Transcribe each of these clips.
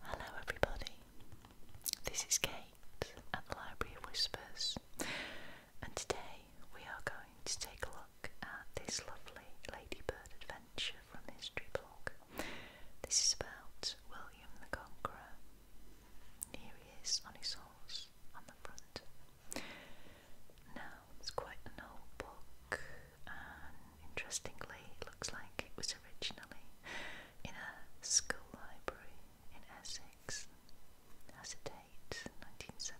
Hello, everybody. This is Kate at the Library of Whispers, and today we are going to take a look at this lovely ladybird adventure from History Blog. This is about William the Conqueror. Here he is on his horse on the front. Now, it's quite an old book, and interestingly, it looks like it was originally in a school library in Essex. As a date, 1975.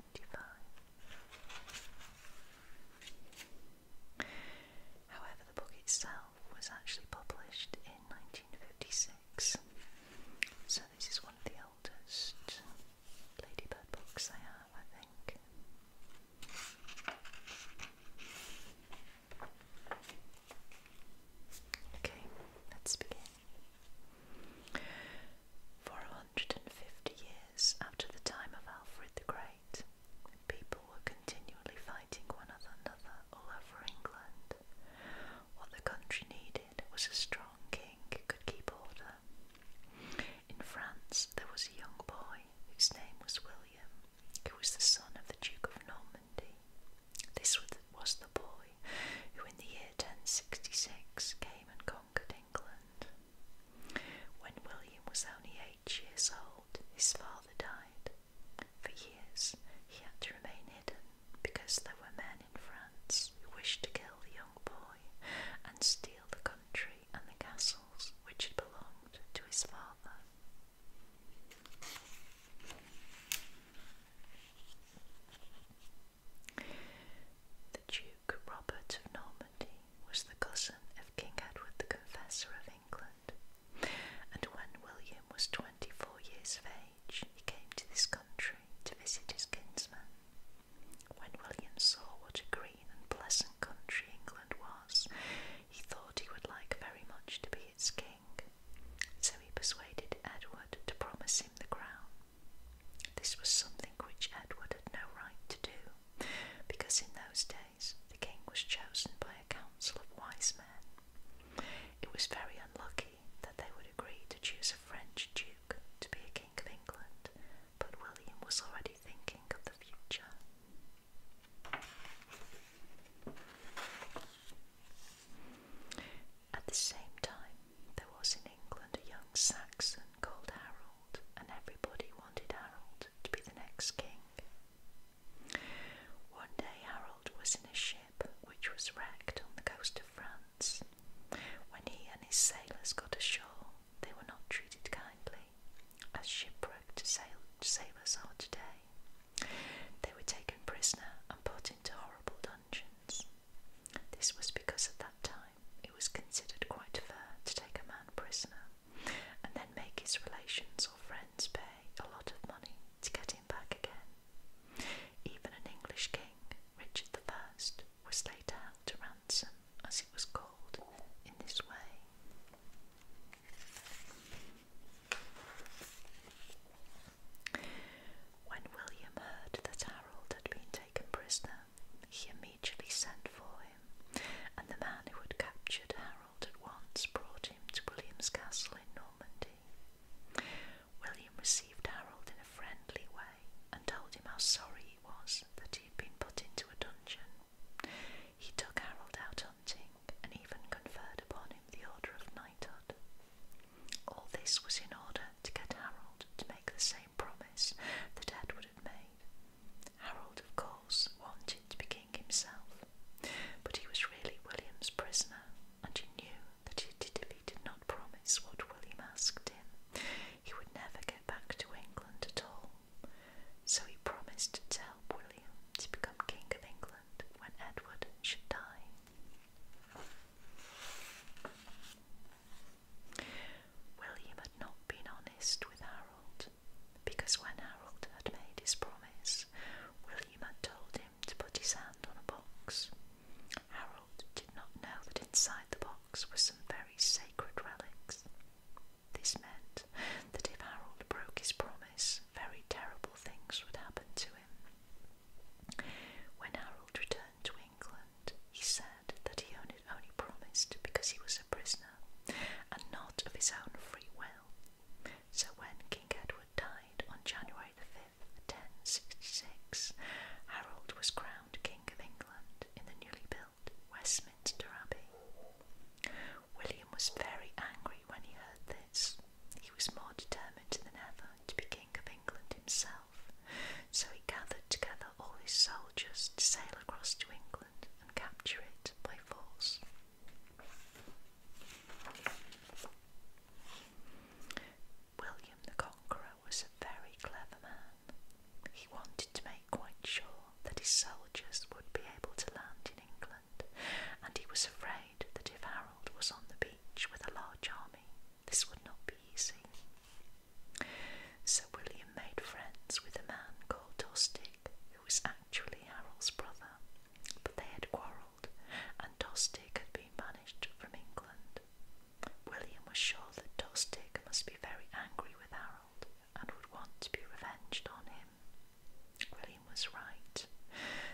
However, the book itself was actually published in 1956 so this is one of the oldest ladybird books I have, I think. Okay, let's begin. For a hundred and fifty years after the time of Alfred the Great, people were continually fighting one another all over England. What the country needed was a strong king who could keep order. In France, there was a young boy whose name was William, who was the son of the Duke of Normandy. This was the boy who, in the year 1066, came and conquered England. When William was only eight years old, his father died, for years, he had to remain hidden because there were men in France who wished to kill the young boy and steal the country and the castles which had belonged to his father. The Duke Robert of Normandy was the cousin of King Edward the Confessor of England, and when William was twenty four years of he came to this country to visit his kinsman. When William saw what a green and pleasant country England was, he thought he would like very much to be its king, so he persuaded Edward to promise him the crown. This was something which Edward had no right to do, because in those days the king was chosen by a council of wise men. It was very unlucky that they would agree to choose a French duke to be a king of England, but William was already thinking of the future. At the same time, there was in England a young Saxon called Harold, and everybody wanted Harold to be the next king. One day, Harold was in a show which was wrecked on the coast of France. When he and his sailors got ashore, they were not treated kindly, as shipwrecked sailors are today. They were taken prisoner and put into horrible dungeons. This was because at that time it was considered quite fair to take a man prisoner and then make his relations or friends pay a lot of money to get him back again. Even an English king, Richard the First, was later held to ransom, as it was called, in this way. When William heard that Harold had been taken prisoner, he immediately sent for him, and the man who had captured Harold at once brought him to William's castle in Normandy. William received Harold in a friendly way and told him how sorry he was that he had been put into a dungeon. He took Harold out hunting and even conferred upon him the order of knighthood. All this was in order to get Harold to make the same promise that Edward had made. Harold, of course, wanted to be king himself, but he was really William's prisoner, and he knew that he did, did not promise what William asked him, he would never get back to England at all. So he promised to help William to become King of England when Edward should die. William had not been honest with Harold, because when Harold had made his promise, William had told him to put his hand on a box. Harold did not know that inside the box were some very sacred relics. This meant that if Harold broke his promise, very terrible things would happen to him. When Harold returned to England, he said that he only, promised because he was a prisoner and not of his own free will. So when King Edward died on January the fifth. In 1066, Harold was crowned King of England in the newly built Westminster Abbey. William was very angry when he heard this. He was more determined than ever to be King of England himself, so he gathered together all his soldiers to sail across to England and capture it by force. William the Conqueror was a very clever man. He wanted to make quite sure that his soldiers would be able to land in England, and he was afraid that if Harold was on the beach with a large army, this would not be easy. So William made friends with a man called Tostig, who was actually Harold's brother, but they had quarrelled and Tostig had been banished from England. William was sure that Tostig must be very angry with Harold and would want to be revenged on him. William was right.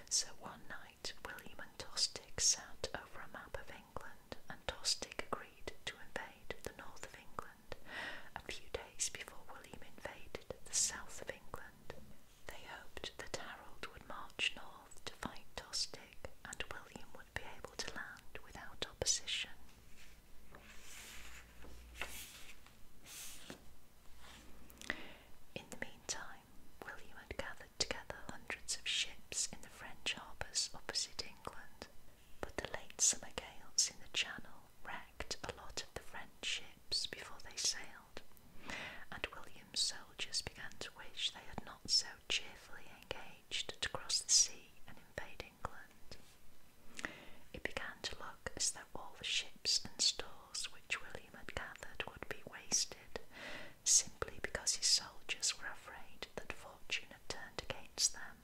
So one night, William and Tostig sat over a map of England, and Tostig agreed to invade the north of England a few days before William invaded the south of England. They hoped that Harold would march north to fight Tostig and William would be able to land without opposition. In the meantime, William had gathered together hundreds of ships in the French harbours opposite England, but the late summer gales in the Channel wrecked a lot of the French ships before they sailed and William's soldiers began to wish they had not so cheerfully engaged to cross the sea and invade England. It began to look as though all the ships and stores which William had gathered would be wasted, simply because his soldiers were afraid that fortune had turned against them.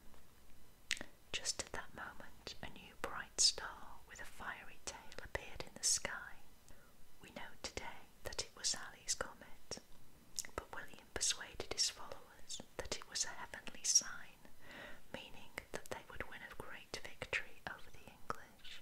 Just at that moment, a new bright star with a fiery tail appeared in the sky, we know today that it was Sally's comet, but William persuaded his followers that it was a heavenly sign, meaning that they would win a great victory over the English.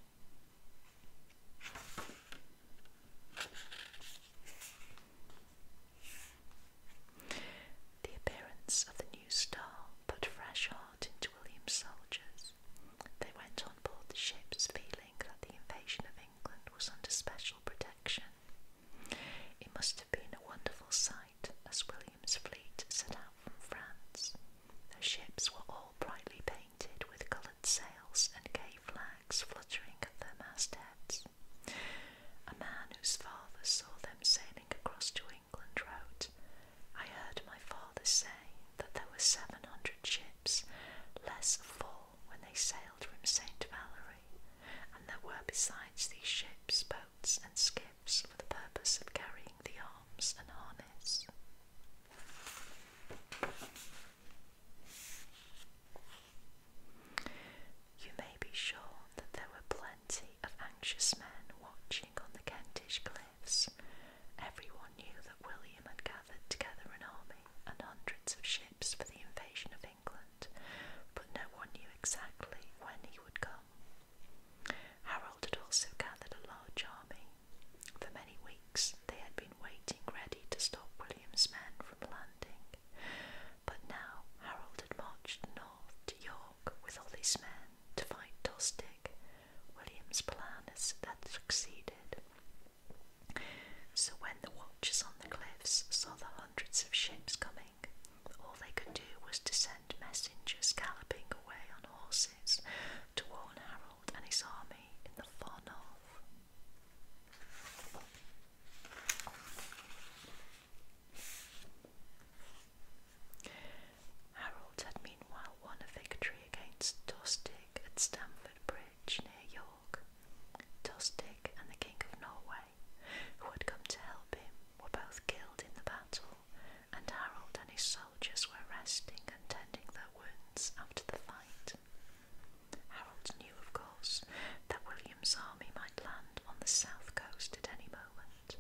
The appearance of the new star put fresh heart into William's soldiers, they went on board the ships feeling that the invasion of England was under special protection. It must have been a wonderful sight as William's fleet set out from France. Their ships were all brightly painted with coloured sails and gay flags fluttering at their mastheads. A man whose father saw them sailing across to England wrote, I heard my father say that there were 700 ships, less full when they sailed from St. Valery, and there were besides these ships boats and skiffs for the purpose of carrying the arms and harness. You may be sure that there were plenty of anxious men watching on the Kentish cliffs, Everyone knew that William had gathered together an army and hundreds of ships for the invasion of England, but no one knew exactly when he would come. Harold had also gathered a large army. For many weeks they had been waiting ready to stop William's men from landing. But now Harold had marched north to York with all his men to find Tostig. William's plan had succeeded. So when the watchers on the cliffs saw the hundreds of ships coming, all they could do was to send messengers galloping away on horses to warn Harold and his army in the far north. Harold had meanwhile won a victory against Tostig at Stamford Bridge bridge near York. Tostig and the King of Norway, who had come to help him, were both killed in the battle, and Harold and his soldiers were resting and tending their wounds after the fight. Harold knew, of course, that William's army might land on the south coast at any moment.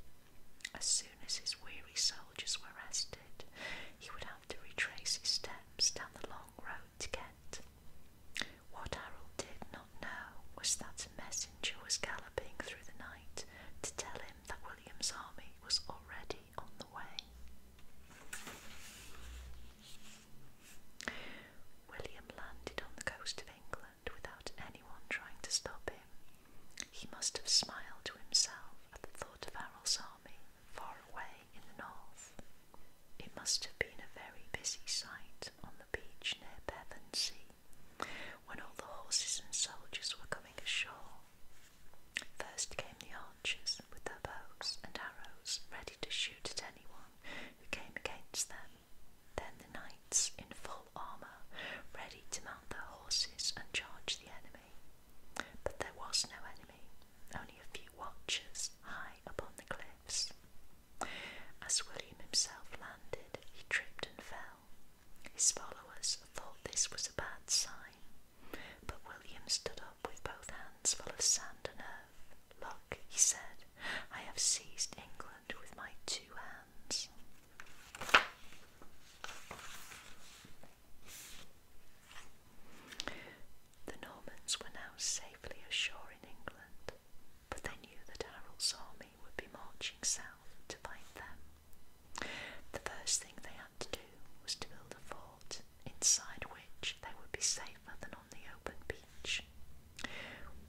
As soon as his weary soldiers were rested, he would have to retrace his steps down the long road to Kent. What Harold did not know was that a messenger was galloping through the night to tell him that William's army was already on the way. William landed on the coast of England without anyone trying to stop him. He must have smiled to himself at the thought of Harold's army far away in the north. It must have been a very busy sight on the beach near Pevensey when all the horses and soldiers were coming ashore. First came the archers with their bows and arrows ready to shoot at anyone who came against them. Then the knights in full armour ready to mount their horses and charge the enemy. But there was no enemy, only a few watchers high upon the cliffs. As William himself landed, he tripped and fell. His followers thought this was a bad sign, but William stood up with both hands full of sand and earth. Look, he said, I have seized England with my two hands. The Normans were now safely ashore in England, but they knew that Harold's army would be marching south to fight them. The first thing they had to do was to build a fort inside which they would be safer than on the open beach.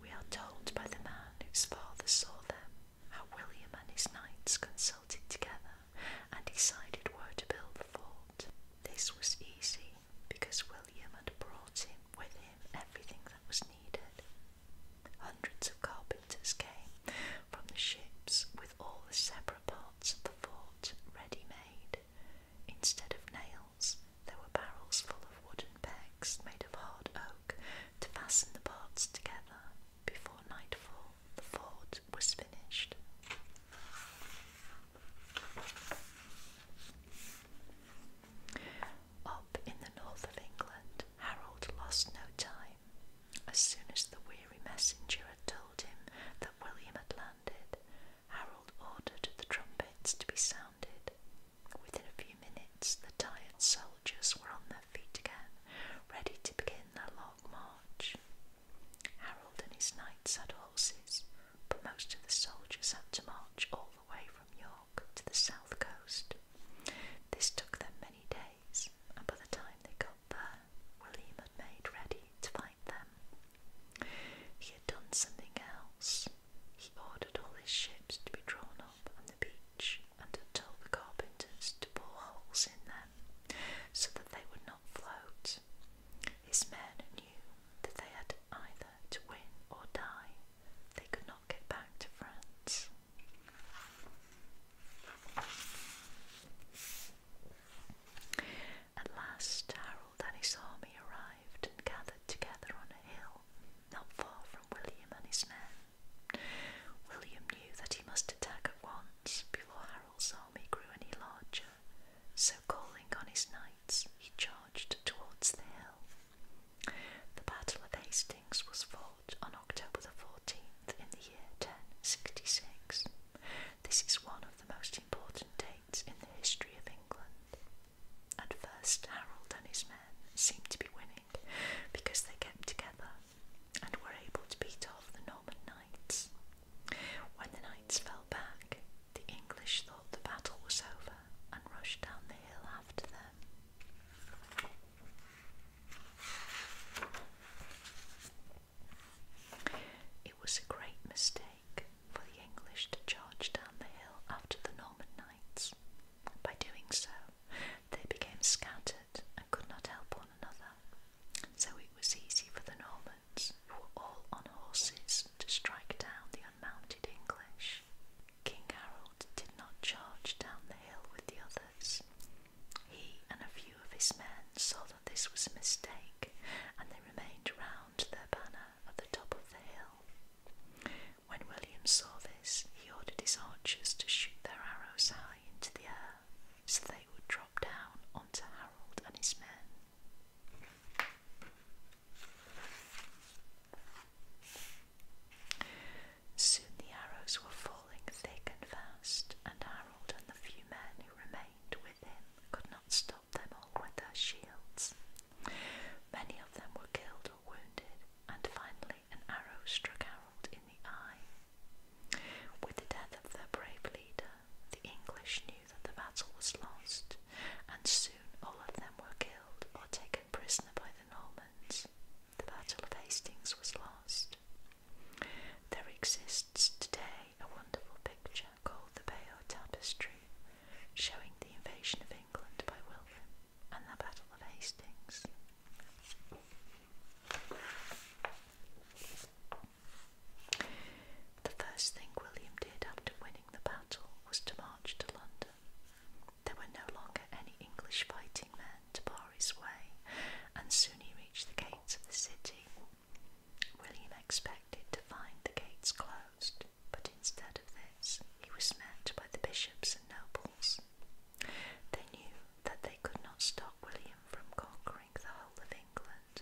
We are told by the man whose father saw them how William and his knights consulted together and decided where to build the fort. This was easy because William had brought him with him everything that was needed. Hundreds of carpenters came from the ships with all the separate parts of the fort ready made. Instead of nails, there were barrels full of wooden pegs made of hard oak to fasten the parts together. Before nightfall, the fort was finished. Up in the north of England, Harold lost no time. As soon as the weary messenger had told him that William had landed, Harold ordered the trumpets to be sounded. Within a few minutes, the tired soldiers were on their feet again, ready to begin their long march. Harold and his knights had horses, but most of the soldiers had to march all the way from York to the south coast. This took them many days, and by the time they got there, William had made ready to fight them. He had done something else. He ordered all his ships to be drawn up on the beach and had told the carpenters to bore holes in them so that they would not float. His men knew that they had either to win or die. They could not get back to France. At last, Harold and his army arrived and gathered together on a hill not far from William and his men. William knew that he must attack at once before Harold's army grew any larger. So, calling on his knights, he charged towards the hill. The Battle of Hastings was fought on October the 14th in the year 1066. This is one of the most important dates in the history of England. At first, Harold and his men seemed to be winning because they kept together and were able to beat off the Norman knights. When the knights fell back, the English thought the battle was over and rushed down the hill after them. It was a great mistake for the English to charge down the hill after the Norman knights. By doing so, they became scattered and could not help one another, so it was easy for the Normans who were all on horses to strike down the unmounted English. King Harold did not charge down the hill with the others. He and a few of his men saw that this was a mistake, and they remained round their banner at the top of the hill. When William saw this, he ordered his archers to shoot their arrows high into the air, so they would drop down onto Harold and his men. Soon the arrows were falling thick and fast, and Harold and the few men who remained with him could not stop them all with their shields. Many of them were killed or wounded, and finally an arrow struck Harold in the eye. With the death of their brave leader, the English knew that the battle was lost, and soon all of them were killed or taken prisoner by the Normans. The Battle of Hastings was lost. There exists today a wonderful picture called the Bayeux Tapestry, showing the invasion of England by William and the Battle of Hastings. The first thing William did after winning the battle was to march to London. There were no longer any English fighting men to bar his way, and soon he reached the gates of the city. William expected to find the gates closed, but instead of this, he was met by the bishops and nobles. They knew that they could not stop William from conquering the whole of England,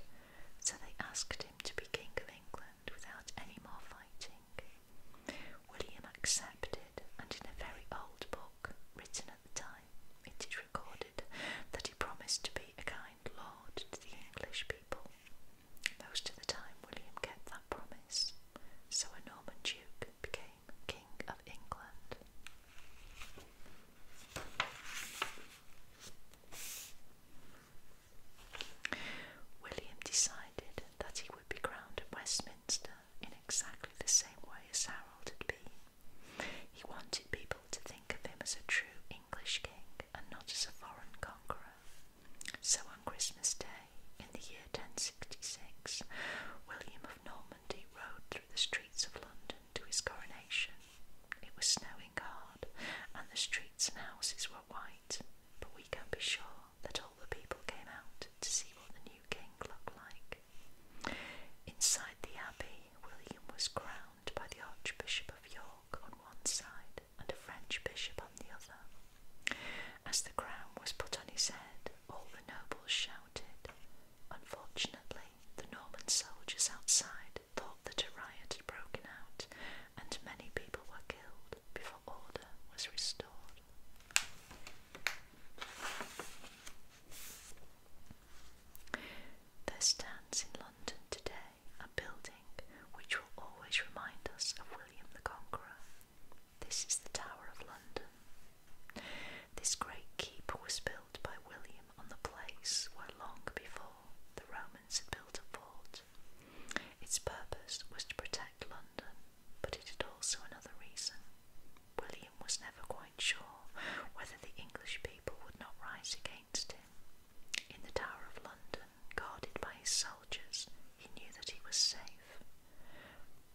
so they asked him to be King of England without any more fighting. William accepted, and in a very old book written at the time, it is recorded that he promised to be a kind lord to the English people. Most of the time, William kept that promise, so a Norman duke became King of England. William decided that he would be crowned at Westminster in exactly the same way as Harold had been. He wanted people to think of him as a true English king and not as a foreign conqueror. So on Christmas Day in the year 1066, William of Normandy rode through the streets of London to his coronation. It was snowing hard, and the streets and houses were white, but we can be sure that all the people came out to see what the new king looked like. Inside the abbey, William was crowned by the Archbishop of York on one side and a French bishop on the other. As the crown was put on his head, all the nobles shouted. Unfortunately, the Norman soldiers outside thought that a riot had broken out and many people were killed before order was restored. There stands in London today a building which will always remind us of William the Conqueror. This is the Tower of London. This great keep was built by William on the place where long before the Roman Normans had built a fort. Its purpose was to protect London, but it had also another reason. William was never quite sure whether the English people would not rise against him. In the Tower of London, guarded by his soldiers, he knew that he was safe.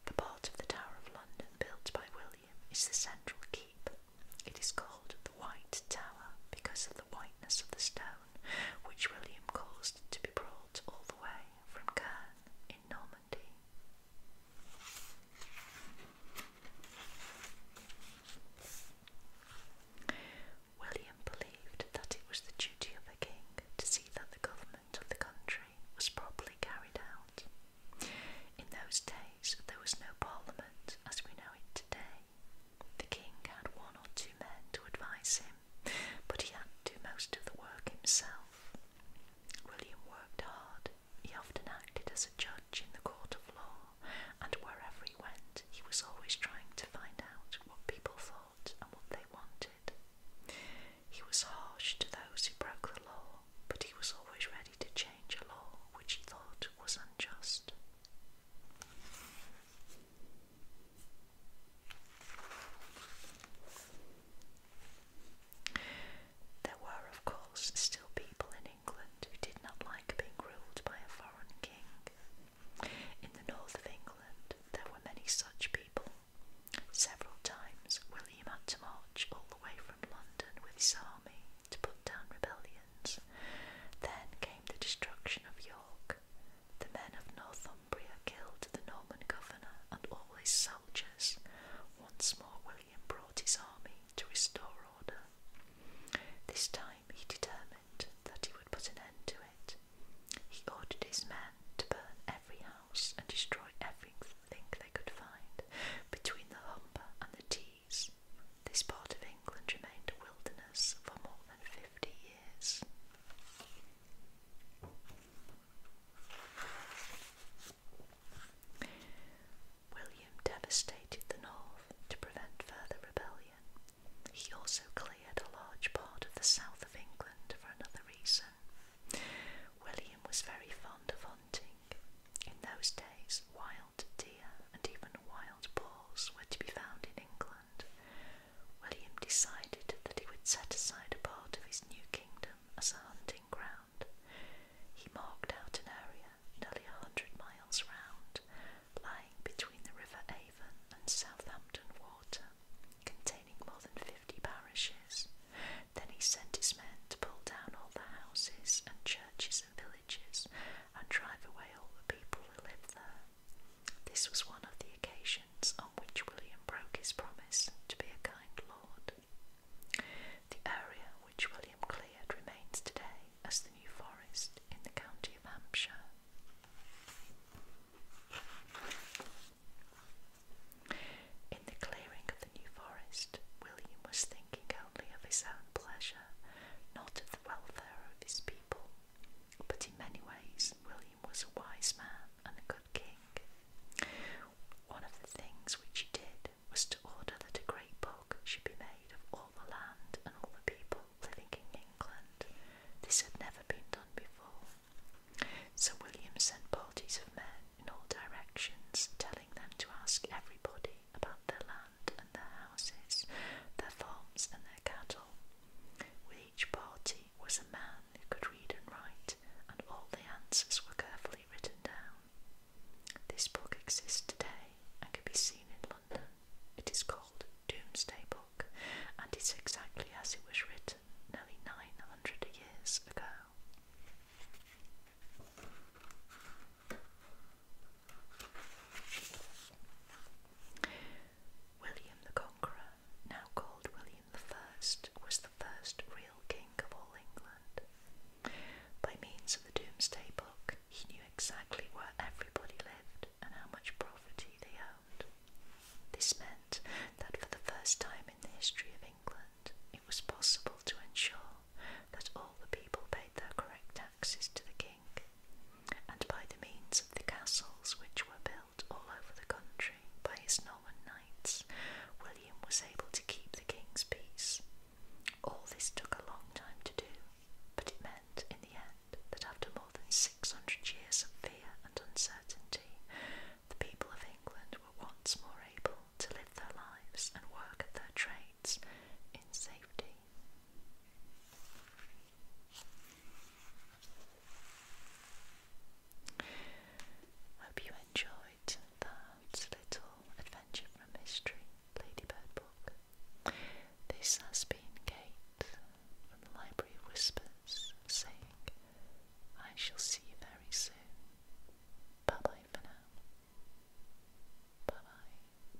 The part of the Tower of London built by William is the central keep. It is called the White Tower because of the whiteness of the stone which William caused to be brought all the way from Caen in Normandy. William believed that it was the duty of a king to see that the government of the country was properly carried out. In those days, there was no parliament as we know it today, the king had one or two men to advise him, but he had to do most of the work himself. William worked hard. He often acted as a judge in the court of law, and wherever he went, he was always trying to find out what people thought and what they wanted. He was harsh to those who broke the law, but he was always ready to change a law which he thought was unjust. There were, of course, still people in England who did not like being ruled by a foreign king. In the north of England, there were many such people. Several times, William had to march all the way from London with his army to put down rebellion. Then came the destruction of York. The men of Northumbria killed the Norman governor and all his soldiers. Once more, William brought his army to restore order. This time he determined that he would put an end to it. He ordered his men to burn every house and destroy everything they could find between the Humber and the Dee this part of England remained a wilderness for more than 50 years. William devastated the north to prevent further rebellion. He also cleared a large part of the south of England for another reason. William was very fond of hunting. In those days, wild deer, and even wild boars were to be found in England, William decided that he would set aside a part of his new kingdom as a hunting ground. He marked out an area nearly a hundred miles round, lying between the River Avon and Southampton Water, containing more than fifty parishes. Then he sent his men to pull down all the houses and churches and villages and drive away all the people who lived there. This was one of the occasions on which William broke his promise to be a kind lord. The area which William cleared remains today as the New Forest in the county of Hampshire. In the clearing of the New Forest, William was thinking only of his own pleasure not of the welfare of his people. But in many ways, William was a wise man and a good king. One of the things which he did was to order that a great book should be made of all the land and all the people living in England. This had never been done before. So William sent parties of men in all directions, telling them to ask everybody about their land and their houses, their farms and their cattle. With each party was a man who could read and write, and all the answers were carefully written down. This book exists today and can be seen in London. It is called Doomsday Book and it is exactly as it was written nearly 900 years ago. William the Conqueror, now called William I, was the first real king of all England. By means of the Doomsday Book, he knew exactly where everybody lived and how much property they owned. This meant that for the first time in the history of England, it was possible to ensure that all the people paid their correct tax taxes to the king, and by the means of the castles which were built all over the country by his Norman knights, William was able to keep the king's peace. All this took a long time to do, but it meant in the end that after more than 600 years of fear and uncertainty, the people of England were once more able to live their lives and work at their trades in safety lovely. Hope you enjoyed that little adventure from history, Ladybird book. This has been Kate from the Library Whispers saying, I shall see you very soon. Bye bye for now. Bye bye.